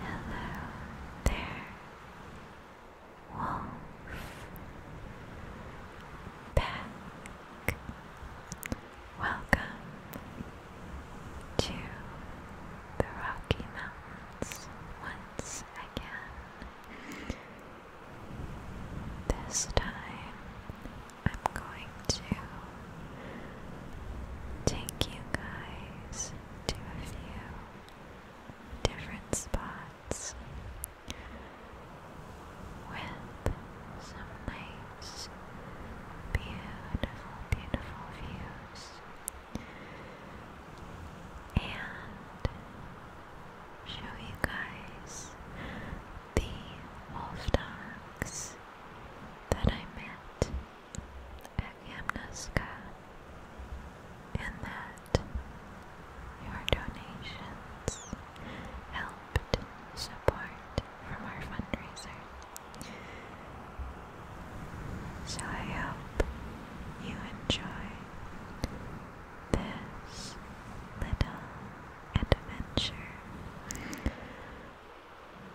Hello there, Wolf. Back. Welcome to the Rocky Mountains once again. This time I'm going to take you guys to a few different spots with some nice, beautiful, beautiful views and show you guys the wolf that I met at Yamnaska, and that your donations helped support from our fundraiser. So I hope you enjoy this little adventure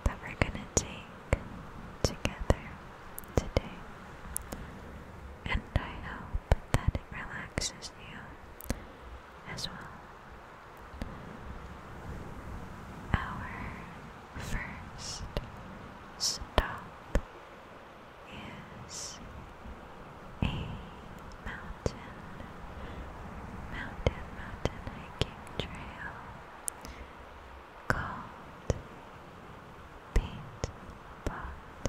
that we're going to take together today. And I hope that it relaxes you as well. Our first stop is a mountain, mountain, mountain hiking trail called Paint Pot,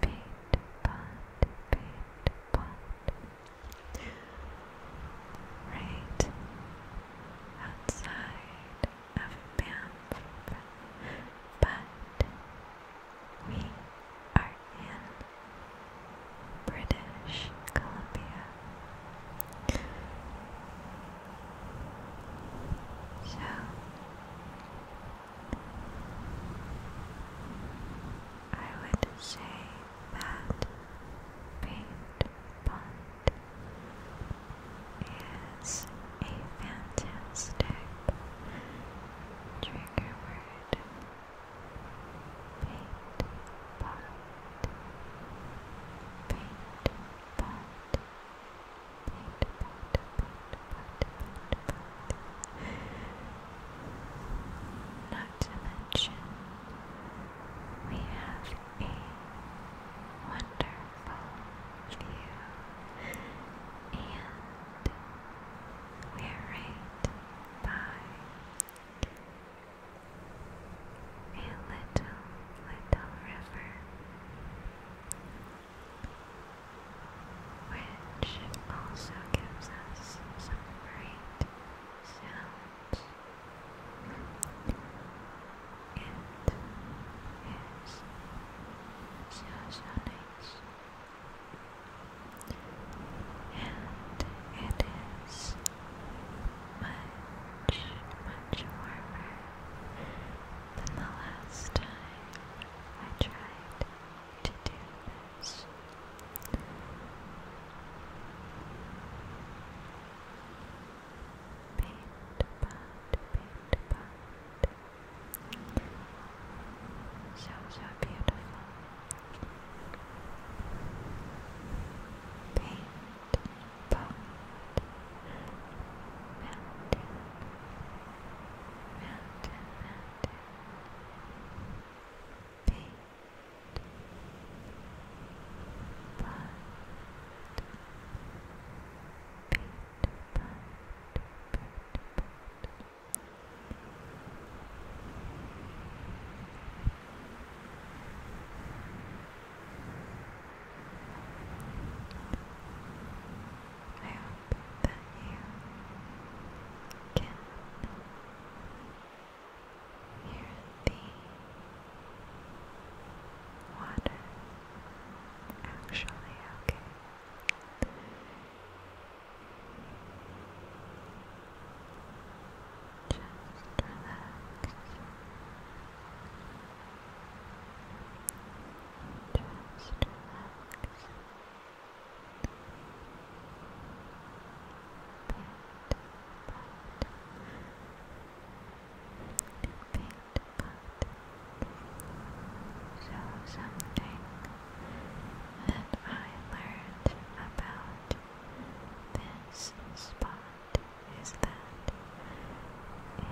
Paint Pot, Paint Pot, right outside of Banff, but we are in British Columbia. So I would say that paint pond is a fantastic trigger word not to mention, we have a wonderful view, and we're right by a little, little river which also gives us some great sounds. It is so, so And it is much, much warmer than the last time I tried to do this. So, so beautiful. Paint pot mountain mountain mountain paint pot paint pot paint pot Paint pot, I hope that you can hear the water actually okay. Just relax. Just relax. Paint, paint, paint. So something that I learned about this spot is that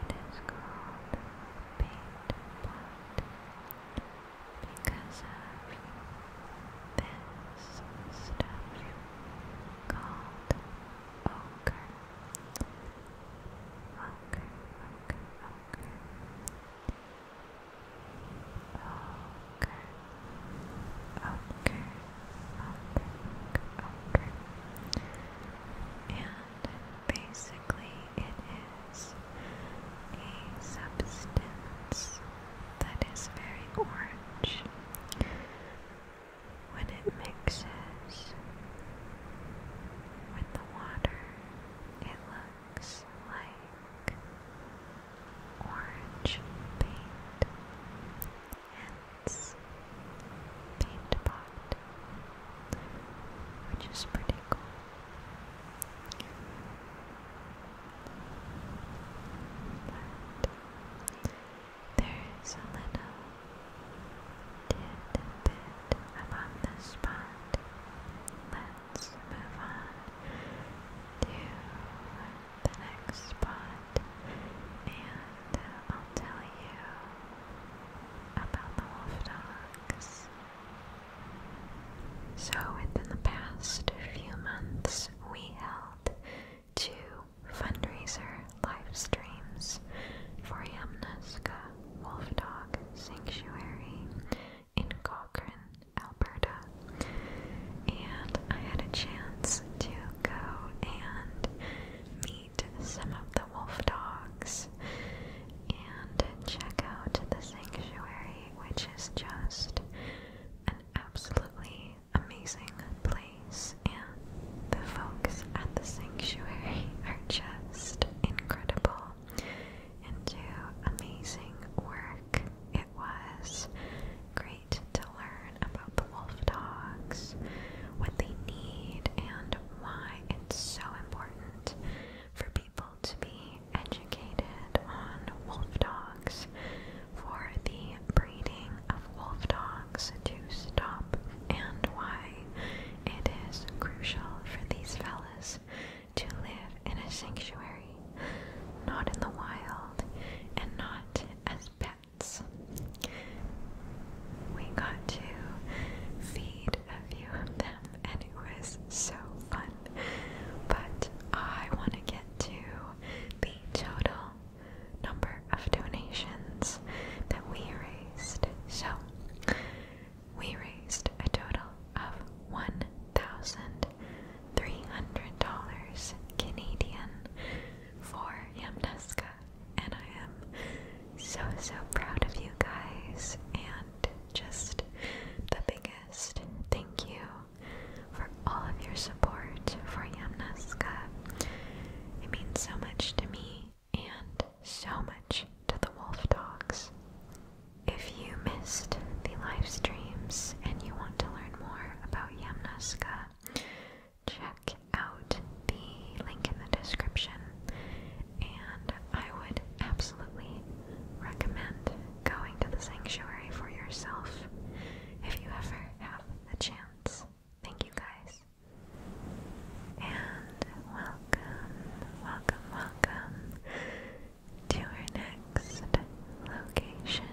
it is called paint pot because of this stuff called ochre. Ochre, ochre, ochre. Oh, okay, okay, okay. And basically, it is a substance that is very orange. When it mixes with the water, it looks like orange paint hence paint which is pretty cool. But there's a little tidbit about this spot. Let's move on to the next spot and uh, I'll tell you about the wolf dogs. So, within the past few months, we held two fundraiser live streams for Yamnuska Wolf Dog Sanctuary in Cochrane, Alberta and I had a chance to go and meet some of the wolf dogs and check out the sanctuary, which is just an absolutely amazing place. And the folks at the sanctuary are just incredible and do amazing work it was great to learn about the wolf dogs, what they need, and why it's so important for people to be educated on wolf dogs for the breeding of wolf dogs to stop and why it is crucial for these fellas to live in a sanctuary, not in the wild, and not as pets. We got to feed a few of them, and it was so fun. But I want to get to the total number of donations that we raised. So, we raised a total of $1,300 Canadian for Yamneska, and I am so so proud of you guys and just the biggest thank you for all of your support for Yamneska. It means so much to me and so much to the Wolf Dogs. If you missed the live streams and you want to learn more about Yamneska, check out the link in the description. And I would absolutely recommend going to the sanctuary for yourself if you ever have the chance. Thank you guys. And welcome, welcome, welcome to our next location.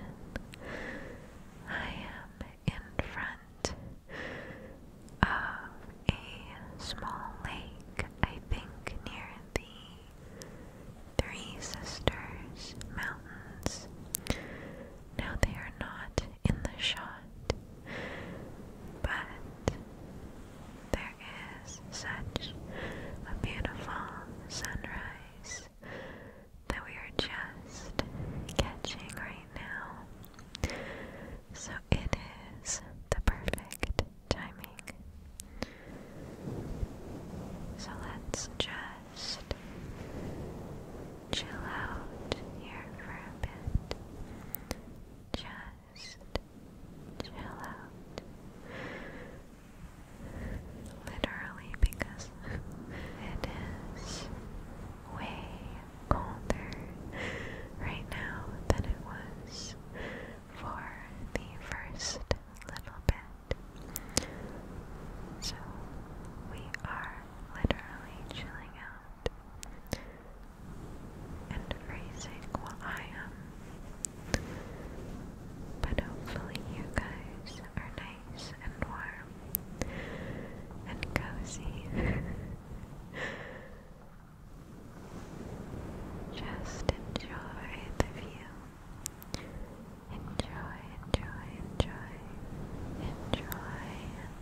I am in front of a small lake, I think near the Three Sisters Mountains. Now they are not in the shot, but there is such a beautiful sunrise that we are just catching right now. So it is the perfect timing. So let's just chill out here for a bit. Just chill out. Literally, because it is way colder right now than it was for the first little bit. So we are literally chilling out and freezing while I am. But hopefully you guys are nice and warm and cozy. Just enjoy the view. Enjoy, enjoy, enjoy. Enjoy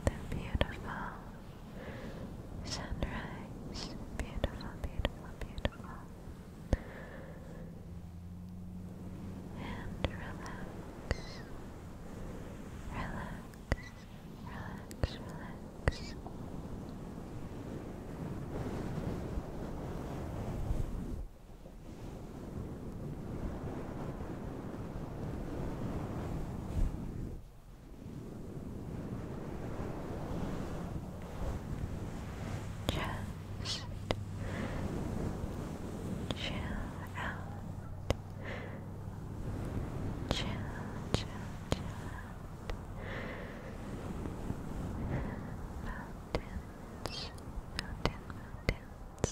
the beautiful sunrise. Beautiful, beautiful, beautiful and relax, relax, relax, relax. Just chill out. Chill, chill, chill out. Mountains, mountain, mountains.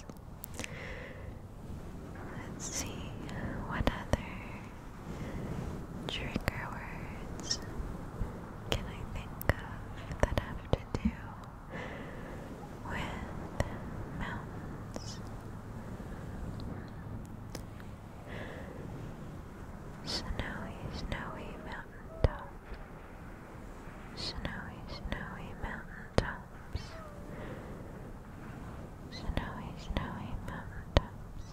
Let's see what other trigger words can I think of that have to do with mountains. Snowy, snowy tops, Snowy, snowy mountain tops, Snowy, snowy mountain tops,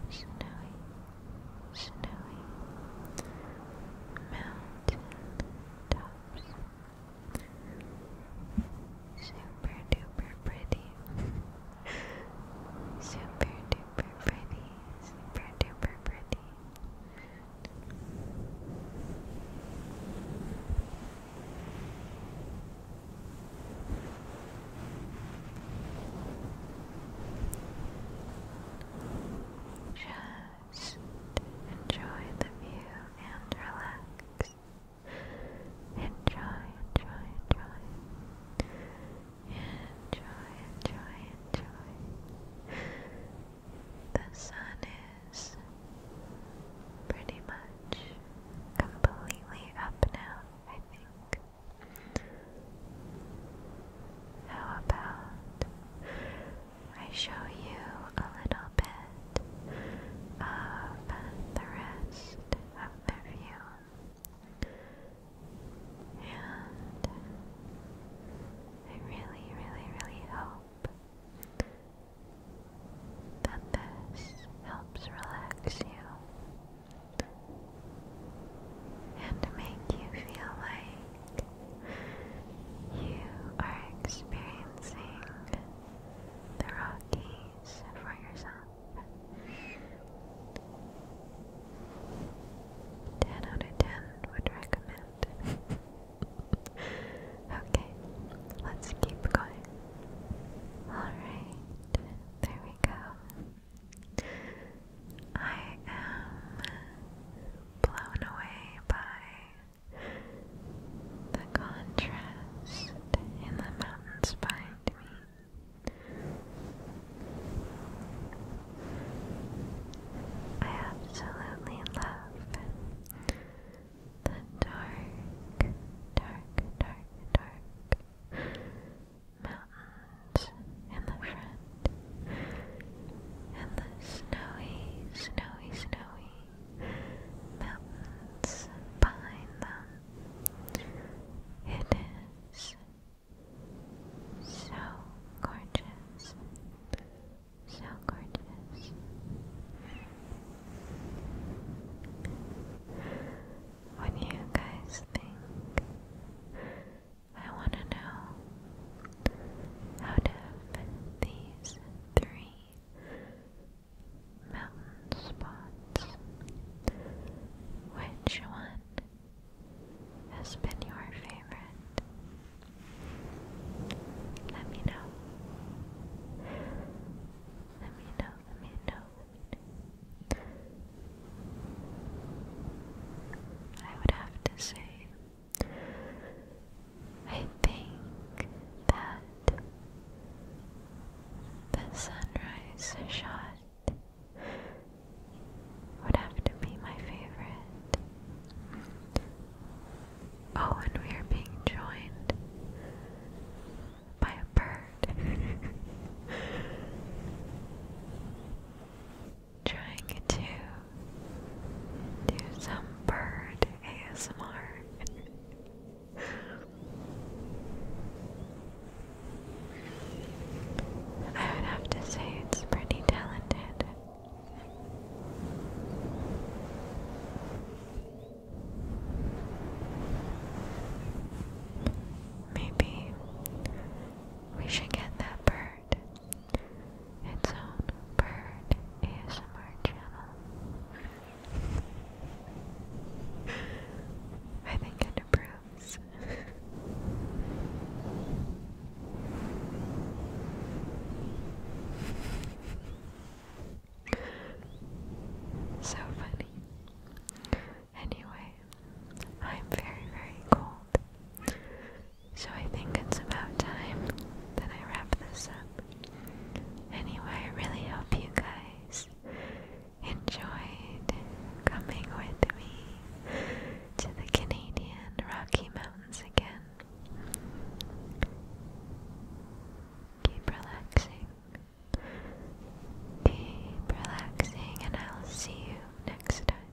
Snowy, snowy mountain tops. Super duper pretty. Super duper pretty. Super duper pretty. Just just enjoy the view and relax. Enjoy, enjoy, enjoy. Enjoy, enjoy, enjoy. The sun is pretty much completely up now, I think. How about I show you a little bit of the rest of the view. And I really, really, really hope that this helps relax you and make you feel like you are experiencing the Rockies for yourself. 10 out of 10 would recommend. okay, let's keep going. Alright, there we go. I am blown away by the contrast in the mountains behind me. I absolutely love the dark, dark, dark, dark mountains in the front and the snowy, snowy snowy, snowy mountains behind them. It is so gorgeous, so gorgeous. What do you guys think? I want to know out of these three mountain spots, which one has been your favorite? Let me know. Let me know, let me know, let me know. I would have to say I think that the sunrise shot would have to be my favorite. Oh, and we are being joined by a bird. Trying to do some bird ASMR. I would have to say it's pretty talented. Maybe we should get that bird its own bird ASMR channel. I think it approves. so funny. Anyway, I'm very, very cold. So I think it's about time that I wrap this up. Anyway, I really hope you guys enjoyed coming with me to the Canadian Rocky Mountains again. Keep relaxing. Keep relaxing, and I'll see you next time.